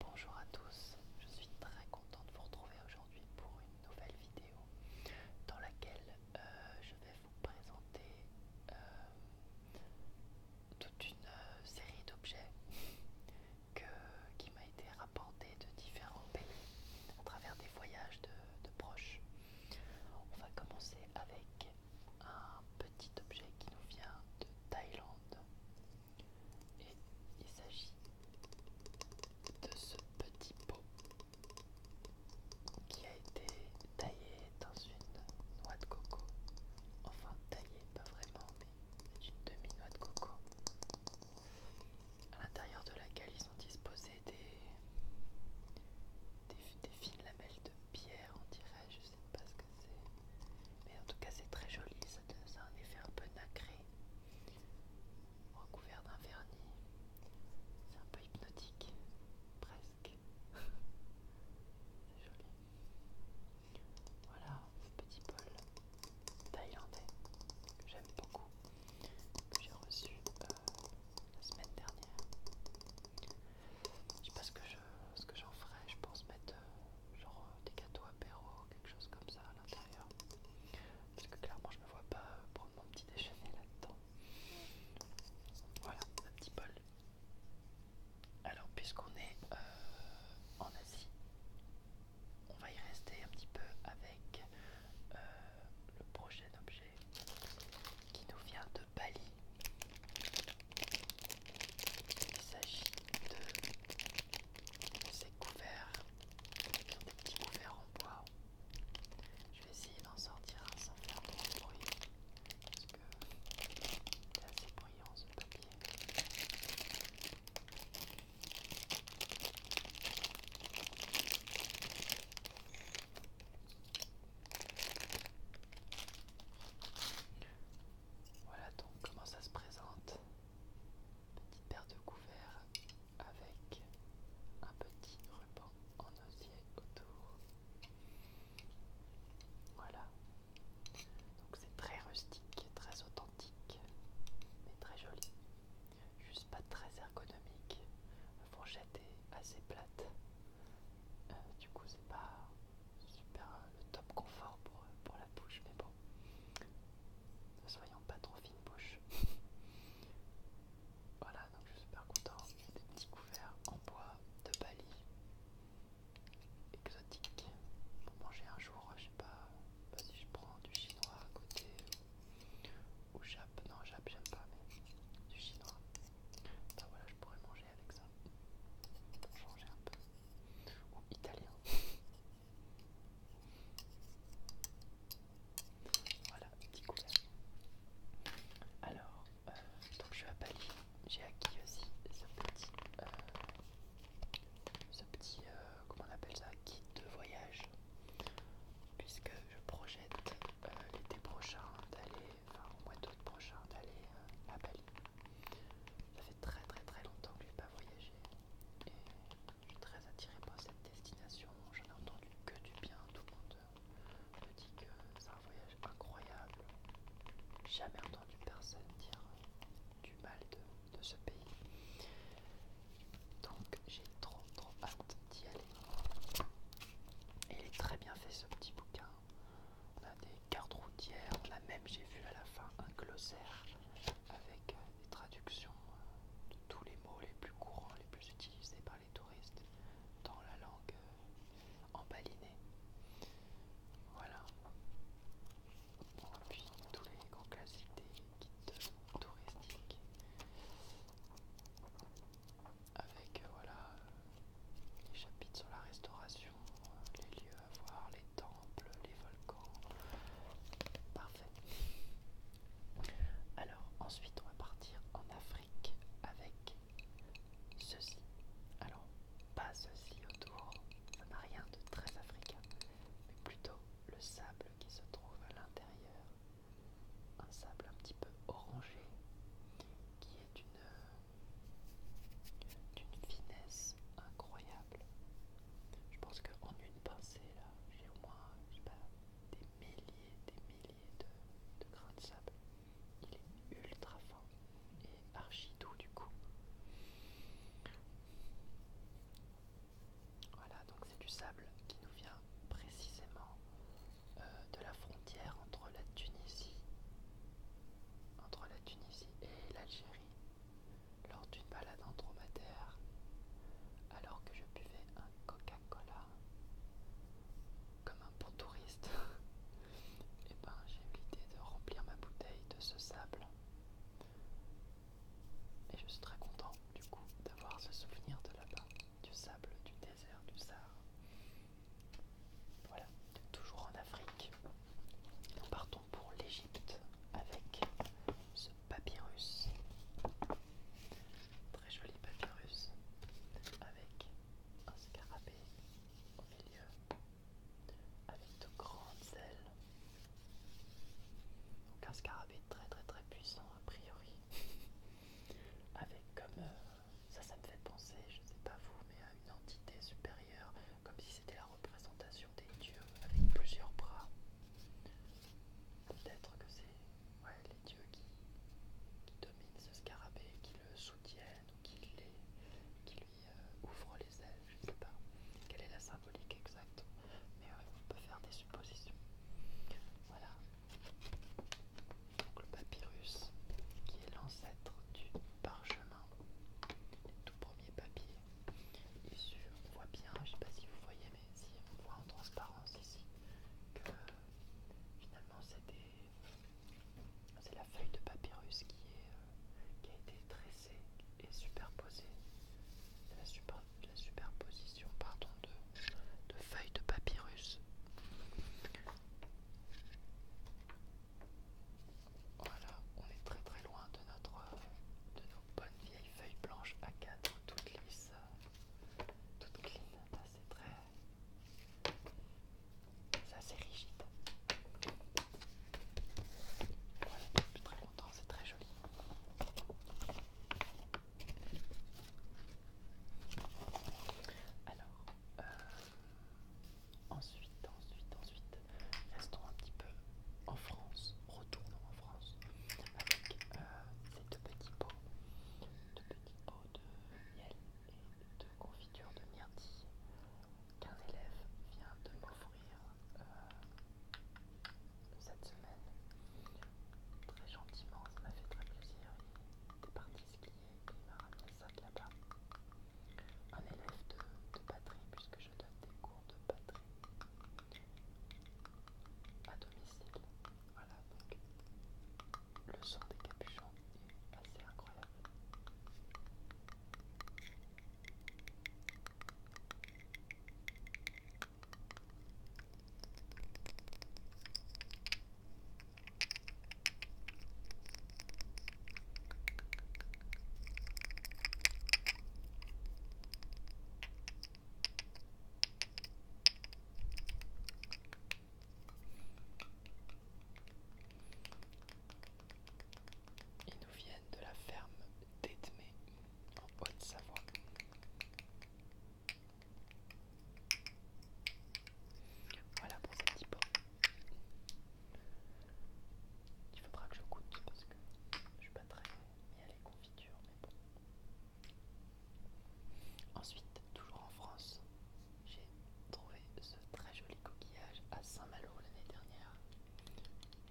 Bonjour à tous, je suis très contente de vous retrouver aujourd'hui pour une nouvelle vidéo dans laquelle euh, je vais vous présenter euh, toute une euh, série d'objets qui m'a été rapporté de différents pays à travers des voyages de proches. On va commencer avec un petit objet qui nous vient de Thaïlande. Et il s'agit de ce petit pot qui a été taillé dans une noix de coco. Enfin taillé, pas vraiment, mais une demi-noix de coco. À l'intérieur de laquelle ils ont disposé des, fines lamelles de pierre, on dirait, je sais pas ce que mais en tout cas, c'est très joli. Ça, a un effet un peu nacré, recouvert d'un vernis. C'est un peu hypnotique, presque. c'est joli. Voilà, petit bol thaïlandais que j'aime beaucoup, que j'ai reçu euh, la semaine dernière. Je sais pas ce que j'en ferai, je pense mettre euh, genre euh, des gâteaux apéro quelque chose comme ça à l'intérieur. Parce que clairement, je me vois pas euh, prendre mon petit déjeuner là-dedans. Voilà, un petit bol. Alors, puisqu'on est euh, en Asie, on va y rester un petit peu avec euh, le prochain objet qui nous vient de Bali. Il s'agit de c'est couvert avec des petits couverts en bois. Je vais essayer d'en sortir sans faire trop de bruit parce que c'est assez bruyant ce papier. Voilà donc comment ça se présente. Petite paire de couverts avec un petit ruban en osier autour. Voilà. Donc c'est très rustique, très authentique, mais très joli. Juste pas très ergonomique. La fourchette est assez plate. Euh, du coup c'est pas super euh, le top confort pour la bouche, mais bon. Ne soyons pas trop fine bouche. voilà, donc je suis super content. Des petits couverts en bois de Bali. Exotique. Pour manger un jour, je sais pas, bah, si je prends du chinois à côté ou jap. Non, jap, j'aime pas, mais du chinois. Ben voilà, je pourrais manger avec ça. Pour changer un peu ou italien. Voilà, petit Alors, euh, donc je suis à Bali, j'ai acquis aussi ce petit, euh, euh, comment on appelle ça, kit de voyage, puisque je projette l'été prochain d'aller, enfin au mois d'août prochain d'aller à Bali. Ça fait très très très longtemps que je n'ai pas voyagé et je suis très attiré par cette destination. J'en ai entendu que du bien, tout le monde euh, me dit que c'est un voyage incroyable. Jamais entendu personne dire du mal de, de ce pays. Donc j'ai trop trop hâte d'y aller. Et il est très bien fait ce petit bouquin. On a des cartes routières, on même, j'ai vu à la fin, un glossaire avec euh, des traductions euh, de tous les mots les plus courants, les plus utilisés par les touristes dans la langue euh, embalinée. Voilà. Et puis tous les grands classiques des guides touristiques. Avec voilà les chapitres sur la restauration, les lieux à voir, les temples, les volcans. Parfait. Alors ensuite on va partir en Afrique avec ceci. Alors pas ceci autour, ça n'a rien de très africain, mais plutôt le sable qui se trouve à l'intérieur. Un sable un petit peu orangé qui est une d'une finesse incroyable. Je pense qu'en une pincée, là, j'ai au moins, des milliers, des milliers de, grains de sable. Il est ultra fin et archi doux du coup. Voilà, donc c'est du sable qui nous vient précisément euh, de la frontière entre la Tunisie, entre la Tunisie et l'Algérie lors d'une balade en dromadaire, alors que je buvais un Coca-Cola comme un bon touriste, et eh ben j'ai eu l'idée de remplir ma bouteille de ce sable. Et je suis très content du coup d'avoir ce souvenir de là-bas, du sable, du désert, du Sahara. Voilà, toujours en Afrique. Nous partons pour l'Égypte avec ce papyrus. Très joli papyrus avec un scarabée au milieu avec de grandes ailes. Donc un scarabée très très très puissant a priori. Avec comme euh, ça ça me fait penser, je ne sais pas vous, mais à une entité supérieure comme si c'était la représentation des dieux avec plusieurs bras. Peut-être que c'est les dieux qui, dominent ce scarabée, qui le soutiennent ou qui, lui euh, ouvrent les ailes, je ne sais pas quelle est la symbolique exacte, mais euh, on peut faire des suppositions. Voilà. Donc le papyrus, qui est l'ancêtre du parchemin le tout premier papier On voit bien, je ne sais pas si vous voyez, mais si on voit en transparence ici que finalement c'est la feuille de papyrus qui, est, euh, qui a été tressée et superposée. La, la superposition pardon, de, de feuilles de papyrus. Voilà, on est très très loin de notre euh, de nos bonnes vieilles feuilles blanches à 4 toutes lisses, euh, toutes clean. Ça c'est très, ça c'est rigide. Voilà, depuis très longtemps, c'est très joli. Alors, euh, Ensuite, ensuite, ensuite, restons un petit peu en France, retournons en France avec euh, ces deux petits pots, deux petits pots de miel et de confiture de myrtille qu'un élève vient de m'offrir euh, cette semaine. Très gentiment, ça m'a fait très plaisir. Il parti c'est et ça de là Un élève de, batterie, puisque je donne des cours de batterie à domicile. Voilà, donc le son des capuchons est assez incroyable. Ils nous viennent de la ferme d'Edmé en Haute-Savoie. Voilà pour ce petit pot. Il faudra que je goûte parce que je suis pas très bien à les confitures, mais bon. Ensuite, toujours en France, j'ai trouvé ce très joli coquillage à Saint-Malo l'année dernière.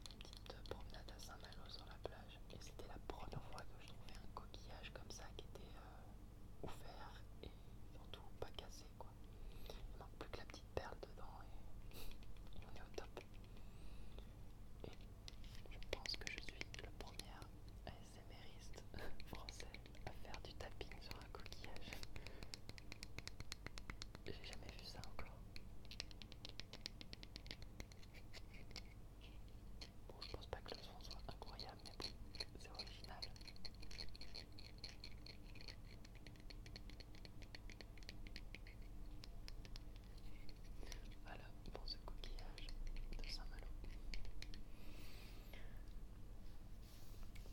Une petite promenade à Saint-Malo sur la plage, et c'était la première fois que je trouvais un coquillage comme ça qui était euh, ouvert et surtout pas cassé, il ne manque plus que la petite perle dedans et, on est au top. je pense que je suis le premier ASMRiste français à faire du tapping sur un coquillage. J'ai jamais vu ça encore. Bon, je pense pas que le son soit incroyable, mais c'est original. Voilà pour ce coquillage de Saint-Malo.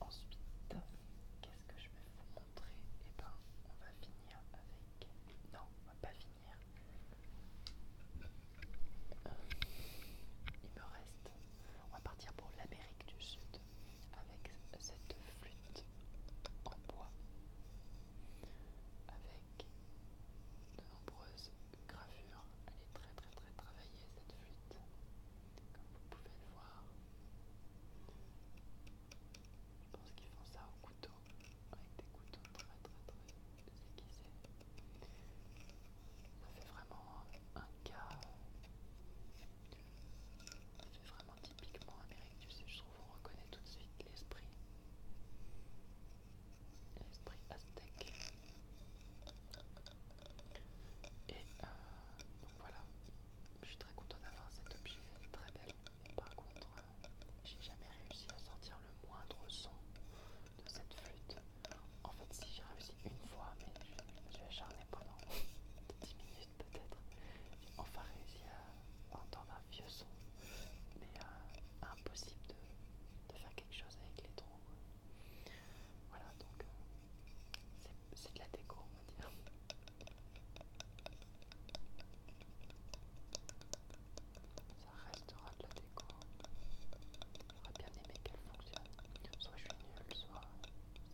Ensuite, qu'est-ce que je vais vous montrer Eh ben, on va finir avec. Non, on va pas finir. Euh, il me reste. On va partir pour l'Amérique du Sud avec cette flûte en bois, avec de nombreuses gravures. Elle est très très très travaillée cette flûte, comme vous pouvez le voir. Je pense qu'ils font ça au couteau, avec des couteaux très très très aiguisés. Ça fait vraiment un cas c'est vraiment typiquement américain, tu sais, je trouve qu'on reconnaît tout de suite l'esprit. aztèque. Et euh, donc voilà, je suis très contente d'avoir cet objet, très belle. par contre, euh, j'ai jamais réussi à sortir le moindre son de cette flûte. En fait, si j'ai réussi une fois, mais je acharné pendant 10 minutes peut-être. J'ai enfin réussi à entendre un vieux son, mais euh, impossible de, faire quelque chose avec les trous. Voilà, donc euh, c'est de la déco, on va dire. Ça restera de la déco. J'aurais bien aimé qu'elle fonctionne. Soit je suis nulle, soit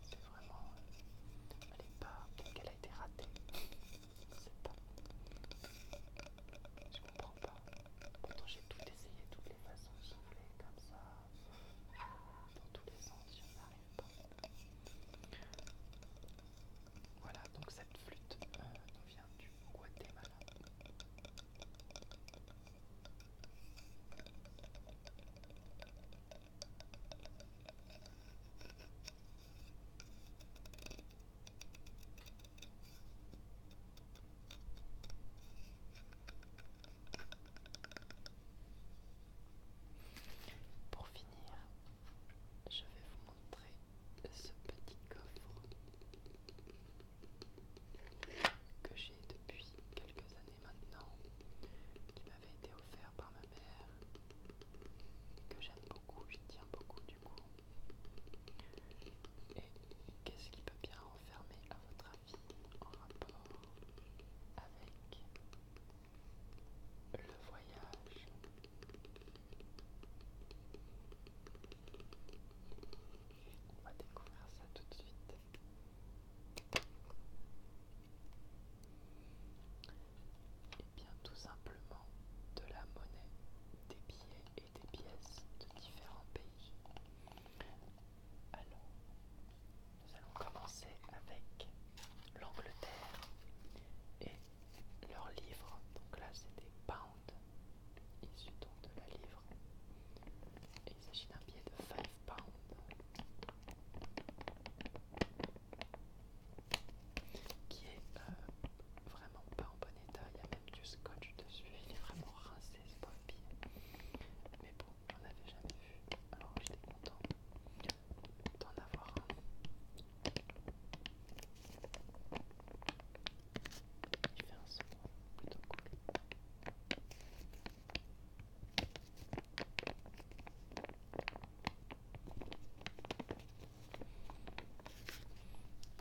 c'est vraiment. Elle est pas. elle a été ratée. C'est pas. Je comprends pas. Pourtant j'ai tout essayé, toutes les façons de souffler comme ça. Dans tous les sens, je n'arrive pas. Voilà, donc cette flûte nous euh, vient du Guatemala. Pour finir, je vais vous montrer ce petit coffre que j'ai depuis quelques années. Et maintenant, qui m'avait été offert par ma mère, que j'aime beaucoup, j'y tiens beaucoup du coup. Et qu'est-ce qui peut bien enfermer, à votre avis en rapport avec le voyage On va découvrir ça tout de suite. Et eh bien tout simplement de la monnaie, des billets et des pièces de différents pays. Alors, nous allons commencer avec l'Angleterre et leurs livres. Donc là, c'est des pounds issus donc de la livre il s'agit d'un billet de 5 pounds qui est euh, vraiment pas en bon état. Il y a même du scotch dessus. Il est vraiment rincé ce pauvre billet. Mais bon, j'en avais jamais vu. Alors j'étais contente d'en avoir un. Il fait un son plutôt cool.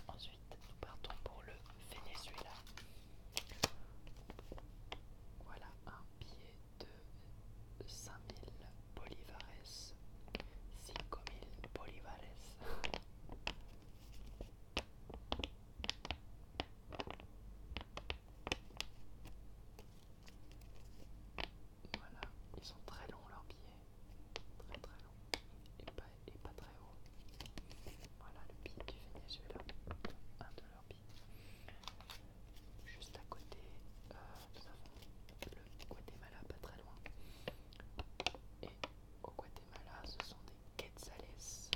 Ensuite, nous partons pour le Venezuela. Voilà un billet de 5000 bolivares. 5000 bolivares. Voilà, ils sont très longs leurs billets, très très longs et pas, très hauts. Voilà le billet du Venezuela, un de leurs billets. Juste à côté, euh, nous avons le Guatemala, pas très loin. Et au Guatemala, ce sont quetzales.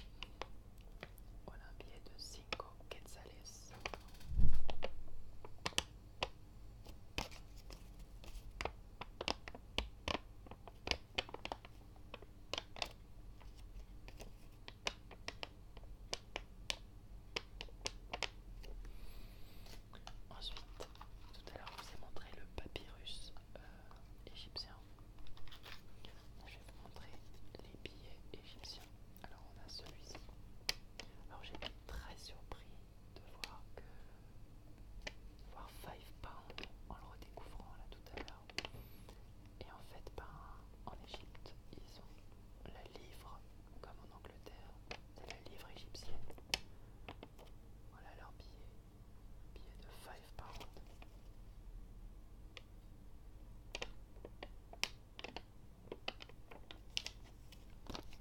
Voilà un billet de Cinco quetzales. Ensuite, tout à l'heure, je vous ai montré le papyrus euh, égyptien. Je vais vous montrer les billets égyptiens. Alors on a celui-ci. Alors j'ai été très surpris de voir que voir 5 pounds en le redécouvrant là tout à l'heure. Et en fait, ben, en Égypte, ils ont la livre, comme en Angleterre, c'est la livre égyptienne. Voilà leur billet, billet de 5 pounds.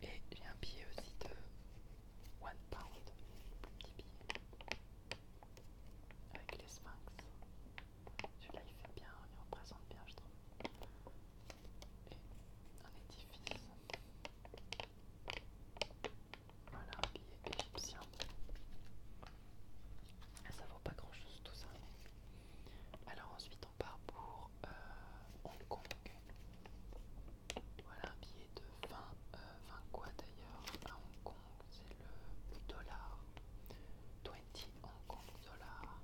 Et j'ai un billet aussi de 1 pound, petit billet, avec les sphinx. Celui-là il fait bien, il représente bien je trouve. Et un édifice. Voilà un billet égyptien. Ah, ça vaut pas grand chose tout ça. Alors ensuite on part pour euh, Hong Kong. Voilà un billet de 20, 20 euh, quoi d'ailleurs à Hong Kong, c'est le dollar. 20 Hong Kong dollars.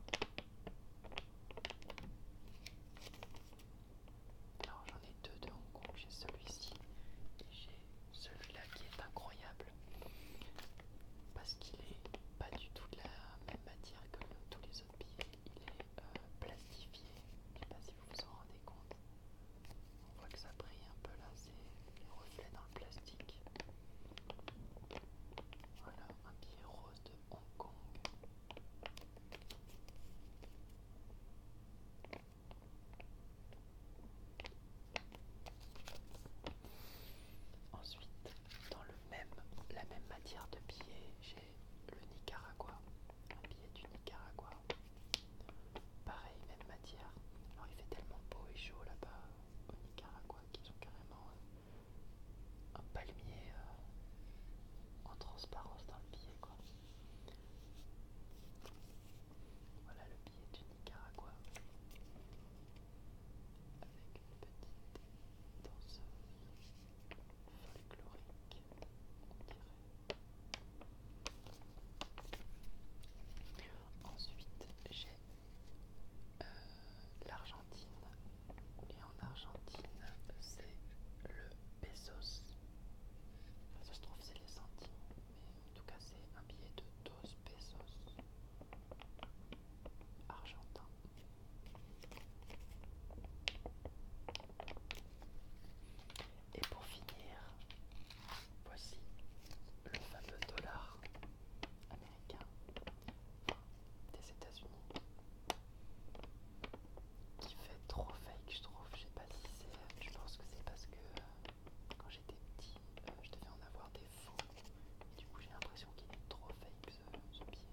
Alors j'en ai deux de Hong Kong, j'ai celui-ci et j'ai celui-là qui est incroyable parce qu'il est pas du tout de la même matière que tous les autres billets, il est euh, plastifié, je sais pas si vous vous en rendez compte. On voit que ça brille un peu là, c'est les reflets dans le plastique. Voilà, un billet rose de Hong Kong. Ensuite, dans le même, la même matière de billets, j'ai le Nicaragua, un billet du Nicaragua. Pareil, même matière. Alors il fait tellement beau et chaud là-bas au Nicaragua qu'ils ont carrément euh, un palmier euh, en transparence dans le billet voilà le billet du Nicaragua avec une petite danse folklorique, Ensuite, j'ai euh, l'Argentine et en Argentine, c'est le pesos. Ça trouve, c'est les centimes mais en tout cas c'est un billet de 12 pesos argentin. Et pour finir, voici le fameux dollar américain des États-Unis qui fait trop fake, je trouve. Je sais pas si c'est. Je pense que c'est parce que euh, quand j'étais petit, euh, je devais en avoir des faux. Et du coup, j'ai l'impression qu'il est trop fake ce, billet.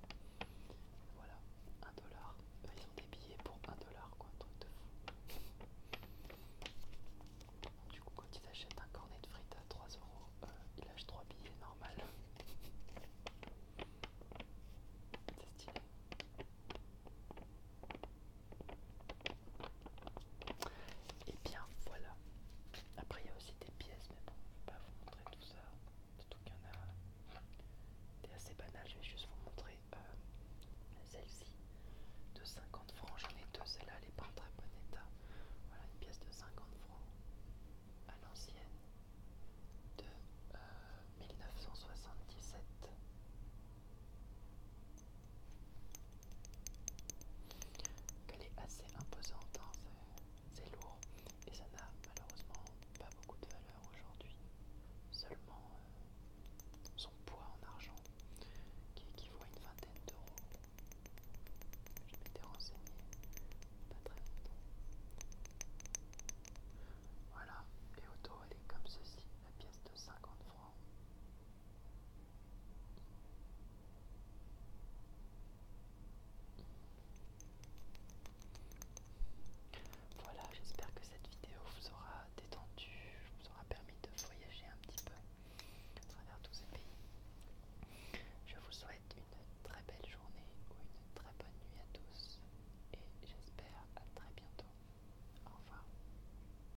Voilà, 1$. Euh, ils ont des billets pour 1$, quoi, un truc de fou. du coup, quand ils achètent un cornet de frites à 3€, euh, ils lâchent 3 billets normal. C'est stylé. Et eh bien voilà. Après il y a aussi des pièces, mais bon, je ne vais pas vous montrer tout ça. Surtout qu'il y en a assez banal, Je vais juste vous montrer euh, celle-ci de 50 francs. J'en ai deux, celle-là elle n'est pas en très bon état. Voilà une pièce de 50 francs à l'ancienne de 1977. Euh, qu'elle est assez imposante, hein, c'est lourd et ça n'a malheureusement pas beaucoup de valeur aujourd'hui, seulement euh, son poids en argent qui équivaut à une vingtaine d'euros. Je m'étais renseigné pas très longtemps. Voilà, et auto elle est comme ceci, la pièce de 50 francs. Voilà, j'espère que cette vidéo vous aura détendu, vous aura permis de voyager un petit peu à travers tous ces pays. Je vous souhaite une très belle journée ou une très bonne nuit à tous et j'espère à très bientôt. Au revoir.